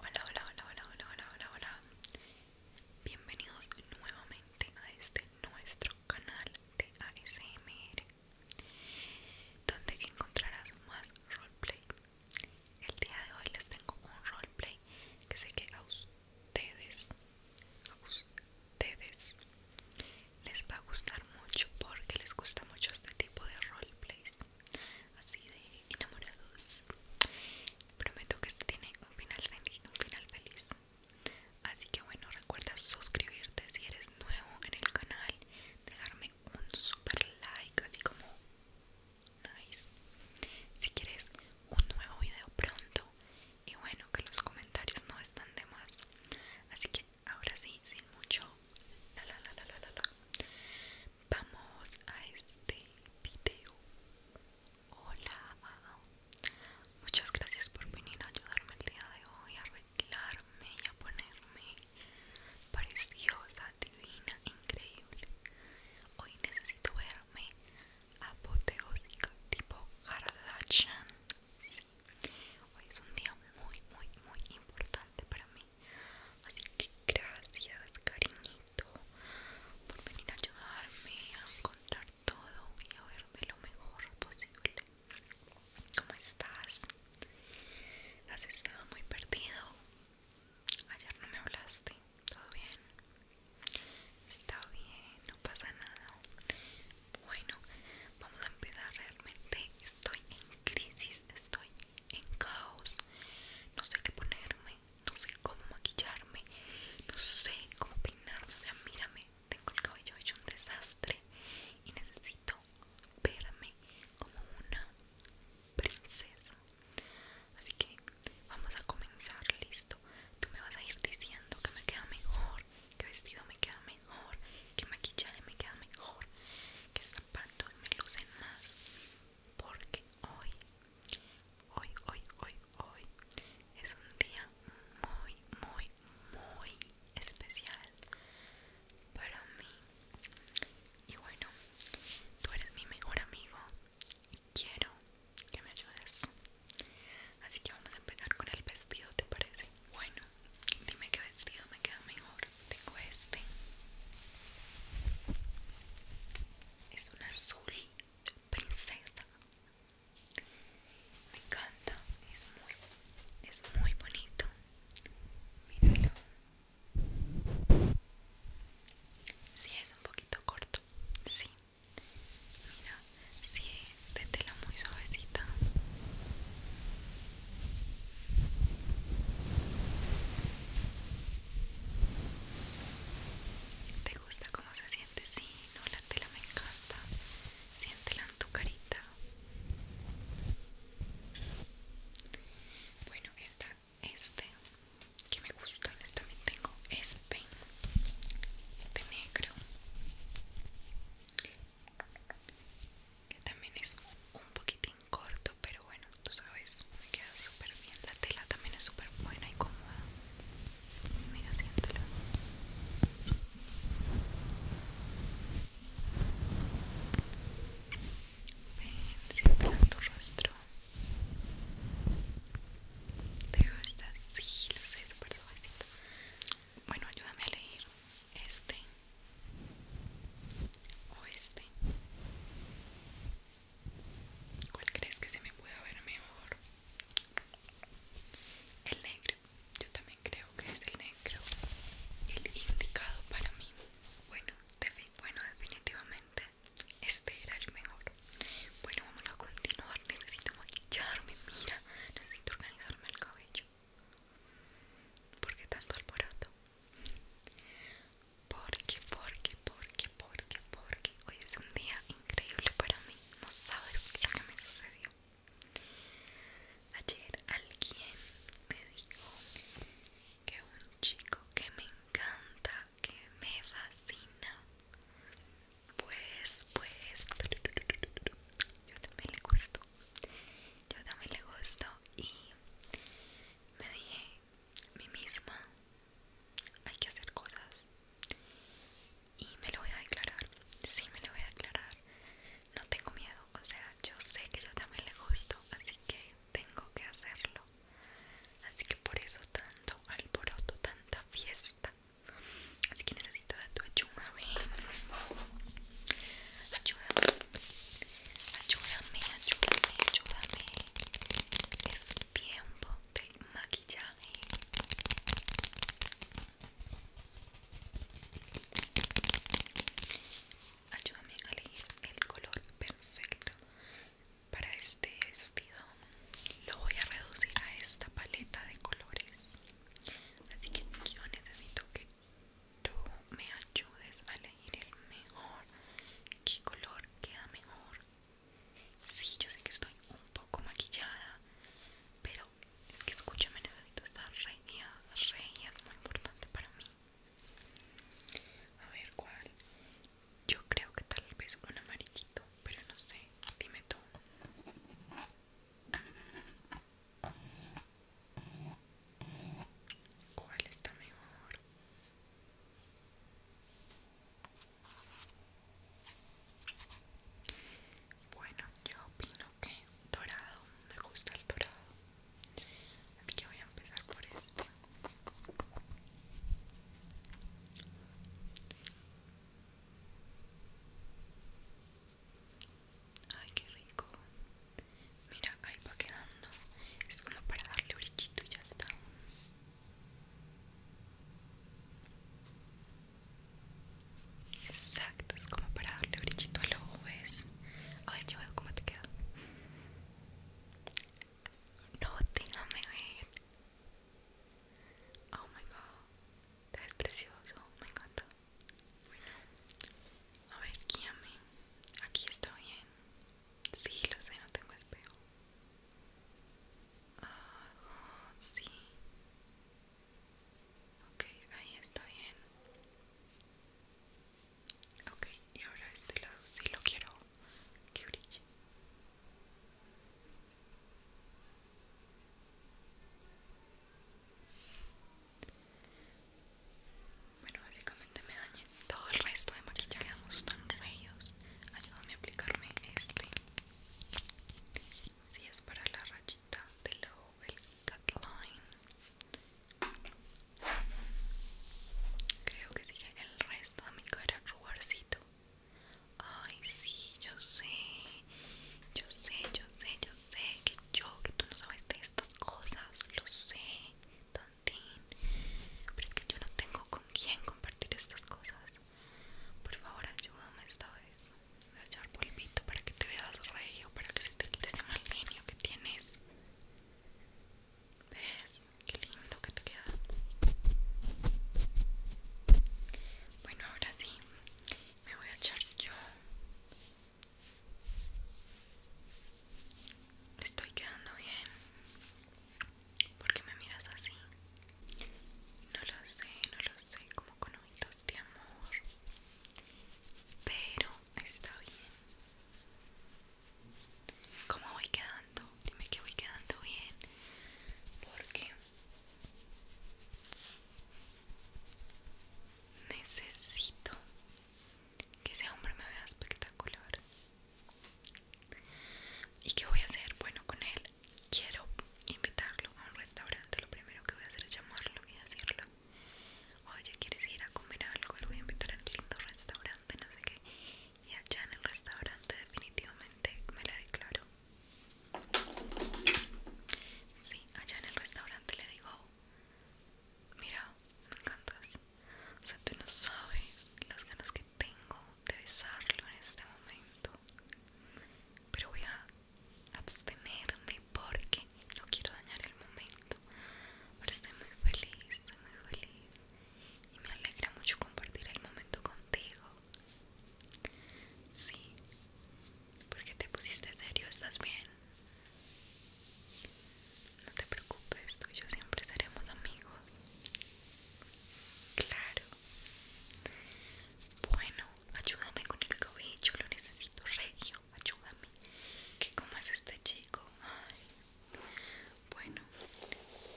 Hola, hola, hola, hola, hola, hola, hola, hola. Bienvenidos nuevamente a este nuestro canal de ASMR, donde encontrarás más roleplay. El día de hoy les tengo un roleplay que sé que a ustedes, a ustedes les va a gustar mucho porque les gusta mucho este tipo de roleplays así de enamorados prometo que este tiene un final feliz un final feliz así que bueno recuerda suscribirte si eres nuevo en el canal dejarme un super like así como nice si quieres un nuevo video pronto y bueno que los comentarios no están de más así que ahora sí, sin mucho vamos a este video hola muchas gracias por venir a ayudarme el día de hoy a arreglarme y a ponerme preciosa divina increíble hoy necesito verme apoteósica tipo Kardashian Hoy es un día muy, muy, muy importante para mí. Así que gracias, cariñito, por venir a ayudarme a encontrar todo y a verme lo mejor posible. ¿Cómo estás? ¿Has estado muy perdido? Ayer no me hablaste, ¿todo bien? Está bien, no pasa nada. Bueno, vamos a empezar realmente. Estoy en crisis, estoy en caos. No sé qué ponerme, no sé cómo maquillarme, no sé cómo peinarme. O mírame, tengo el cabello hecho un desastre y necesito verme como una princesa. Así que vamos a comenzar, listo. Tú me vas a ir diciendo que me queda mejor, que vestido me queda mejor mejor, que maquillaje me queda mejor, que zapatos me lucen más, porque hoy, hoy, hoy, hoy, hoy es un día muy, muy, muy especial para mí. Y bueno, tú eres mi mejor amigo y quiero que me ayudes. Así que vamos a empezar con el vestido, ¿te parece? Bueno, dime qué vestido me queda mejor. Tengo este. Es un azul princesa. Me encanta, es muy es muy bonito. Míralo. Si es un poquito corto. Si Mira, es de tela muy suavecita ¿Te gusta cómo se siente? Si, no, la tela me encanta Siéntela en tu carita Bueno, está este que me gusta, también tengo este este negro que también es un, poquitín corto pero bueno tú sabes me queda súper bien la tela también es súper buena y cómoda mira siéntala ven siéntela en tu rostro te gusta sí lo sé súper suavecito bueno ayúdame a elegir este o este cuál crees que se me pueda ver mejor el negro yo también creo que es el negro el indicado para mí bueno, bueno definitivamente este era el mejor bueno vamos a continuar necesito maquillarme mira necesito organizarme el cabello porque qué tanto alboroto? Porque, porque, porque, porque, porque Hoy es un día increíble para mí No sabes lo que me sucedió Ayer alguien me dijo que un chico que me encanta, que me fascina, pues, pues, yo también le gusto yo también le gusto y me dije a mí misma hay que hacer cosas y me lo voy a declarar sí me lo voy a declarar no tengo miedo o sea yo sé que yo también le gusto así que tengo que hacerlo así que por eso tanto alboroto tanta fiesta Así que necesito de tu ayuda, Ayúdame Ayúdame, ayúdame, ayúdame Es tiempo de maquillaje Ayúdame a elegir el color perfecto para este vestido. Lo voy a reducir a esta paleta de colores. Así que yo necesito que tú me ayudes a elegir el mejor. ¿Qué color queda mejor? Sí, yo sé que estoy un poco maquillada, pero es que escúchame, necesito estar reina, reina es muy importante para mí. A ver cuál. Yo creo que tal vez un amarillito, pero no sé. Dime tú. ¿Cuál está mejor? Bueno, yo opino que dorado, me gusta el dorado. Así que voy a empezar por este. Ay, qué rico. Mira, ahí va quedando. Es como para darle brichito y ya está. Exacto, es como para darle brichito a los ¿ves? A ver, yo veo cómo te queda. No, déjame Oh my god. Te precioso, me encanta. Bueno, a ver, guíame. Aquí está bien. Sí, lo sé, no tengo espejo. Ah, sí. Ok, ahí está bien. Ok, y ahora este lado sí lo quiero que brille. Bueno, básicamente me dañé todo el resto de maquillaje. Quedamos tan ellos Ayúdame a aplicarme este. Si es para la rachita del ojo, el cutline. Creo que sigue el resto de mi cara rubarcito. Ay, sí, yo sé, yo sé, yo sé, yo sé que yo, que tú no sabes de estas cosas, lo sé, tontín. Pero es que yo no tengo con quién compartir estas cosas. Por favor, ayúdame esta vez. Voy a echar polvito para que te veas rey o para que se te quite ese mal genio que tienes. ¿Ves? Qué lindo que te queda. Bueno, ahora sí, me voy a echar yo estoy quedando bien porque me miras así no lo sé no lo sé como con ojitos de amor pero está bien ¿Cómo voy quedando? Dime que voy quedando bien Porque Necesito que ese hombre me vea espectacular. ¿Y qué voy a hacer? Bueno, con él quiero invitarlo a un restaurante. Lo primero que voy a hacer es llamarlo y decirlo. Oye, ¿quieres ir a comer algo? Lo voy a invitar a un lindo restaurante, no sé qué. Y allá en el restaurante definitivamente me la declaro. Sí, allá en el restaurante le digo, mira, me encantas. O sea, tú no sabes las ganas que tengo de besarlo en este momento. Pero voy a abstenerme porque no quiero dañar el momento. Pero estoy muy feliz, estoy muy feliz. Y me alegra mucho compartir el momento contigo. Sí. porque qué te pusiste serio? ¿Estás bien? No te preocupes, tú y yo siempre seremos amigos. Claro. Bueno, ayúdame con el cabello, lo necesito regio, ayúdame. ¿Qué comas este chico? Bueno,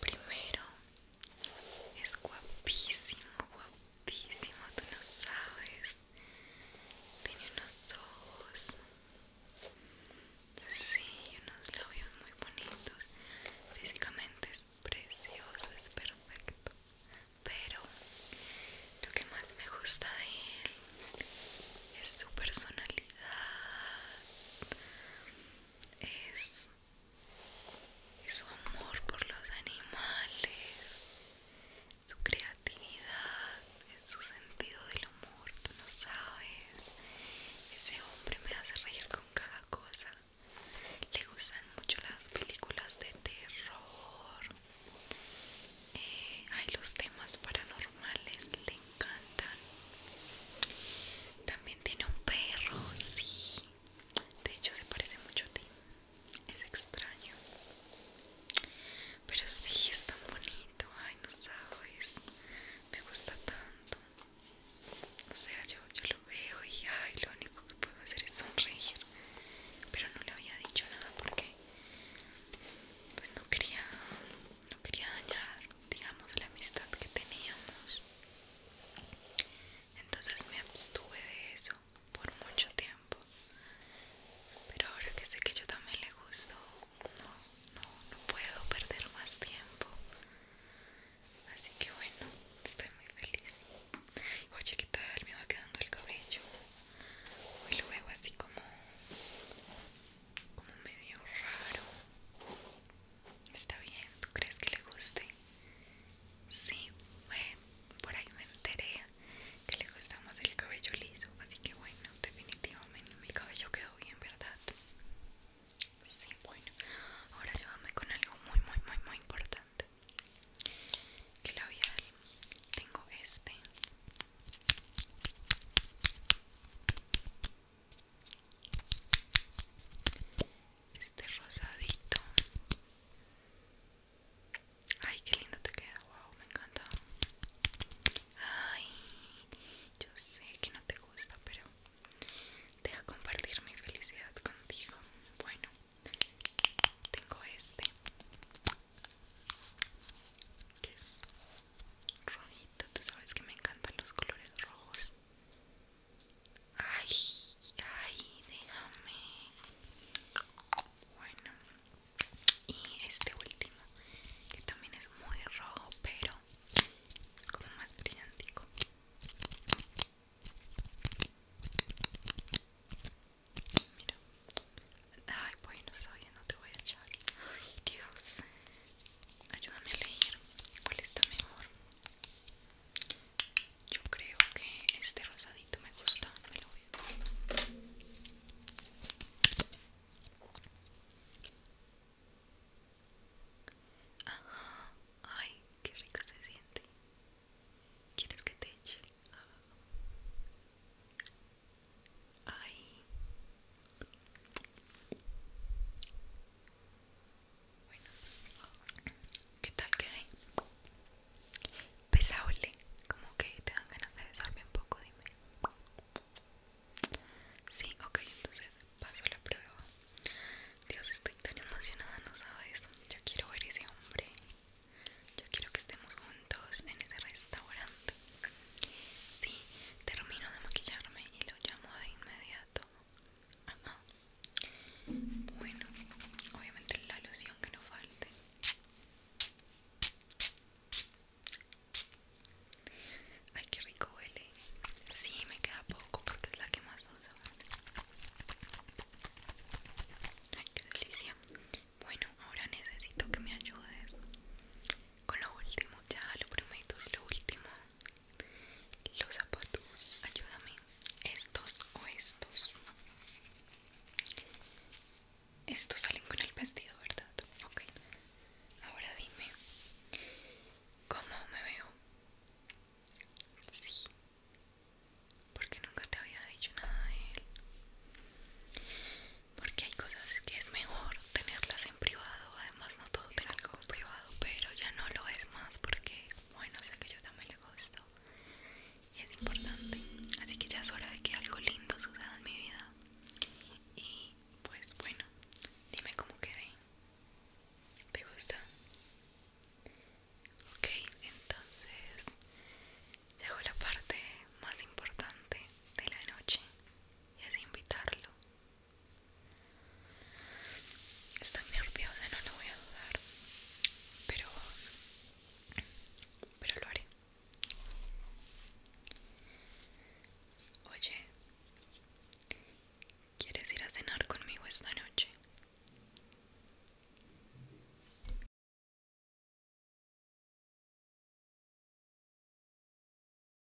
primero es guapísimo, guapísimo, tú no sabes. Tiene unos ojos. Sí, unos labios muy bonitos. Físicamente es precioso, es perfecto. Pero lo que más me gusta de él es su personalidad. Es su amor por los animales, su creatividad, su sentido del humor, tú no sabes. Ese hombre me hace reír con cada cosa. Le gustan mucho las películas de terror. Eh, hay los temas paranormales, le encantan. También tiene un perro, sí de hecho se parece mucho a ti es extraño pero sí es tan bonito ay no sabes me gusta tanto o sea yo, lo veo y ay lo único que puedo hacer es sonreír pero no le había dicho nada porque pues no quería no quería dañar digamos la amistad que teníamos entonces me abstuve de eso por mucho tiempo pero ahora que sé que yo también le gusto no, no, no puedo perder más tiempo así que bueno estoy muy feliz oye qué tal me va quedando el cabello y luego así como como medio raro Está bien, ¿tú crees que le guste? Sí, por ahí me enteré que le gusta más el cabello liso, así que bueno, definitivamente mi cabello quedó bien, ¿verdad? Sí, bueno, ahora llévame con algo muy, muy, muy, muy importante. Que labial tengo este. Este rosadito. Ay, qué lindo te queda. Wow, me encanta. Ay, yo sé que no te gusta, pero deja compartir mi felicidad contigo. Bueno, tengo este que es rojito. Tú sabes que me encantan los colores rojos. Ay, ay, déjame. Bueno, y este último, que también es muy rojo, pero como más brillantico. Mira. Ay, bueno, soy, no te voy a echar. Ay, Dios. Ayúdame a leer cuál está mejor. Yo creo que este rosadito me gusta, me lo voy a poner. ay, qué rico se siente. ¿Quieres que te eche? Ay. Bueno, ¿qué tal quedé? Pesable, como que te dan ganas de besarme un poco, dime. Sí, ok, entonces paso la prueba. Dios, estoy tan emocionada, no sabes. Yo quiero ver ese hombre. Yo quiero que estemos juntos en ese restaurante. Sí, termino de maquillarme y lo llamo de inmediato. Bueno, obviamente la alusión que no falte Ay, qué rico huele Sí, me queda poco porque es la que más uso Ay, qué delicia Bueno, ahora necesito que me ayudes con lo último, ya lo prometo, es lo último los zapatos, ayúdame. Estos o estos. Estos salen con el vestido, ¿verdad? Ok. Ahora dime. ¿Cómo me veo? Sí. Porque nunca te había dicho nada de él. Porque hay cosas que es mejor tenerlas en privado. Además, no todo te algo privado pero ya no lo es más porque bueno sé que yo también le gusto y es importante así que ya es hora de que algo lindo suceda en mi vida y pues bueno dime cómo quedé te gusta ok entonces llegó la parte más importante de la noche y es invitarlo Estoy nerviosa, no lo voy a dudar, pero, pero lo haré. Oye, ¿quieres ir a cenar conmigo esta noche?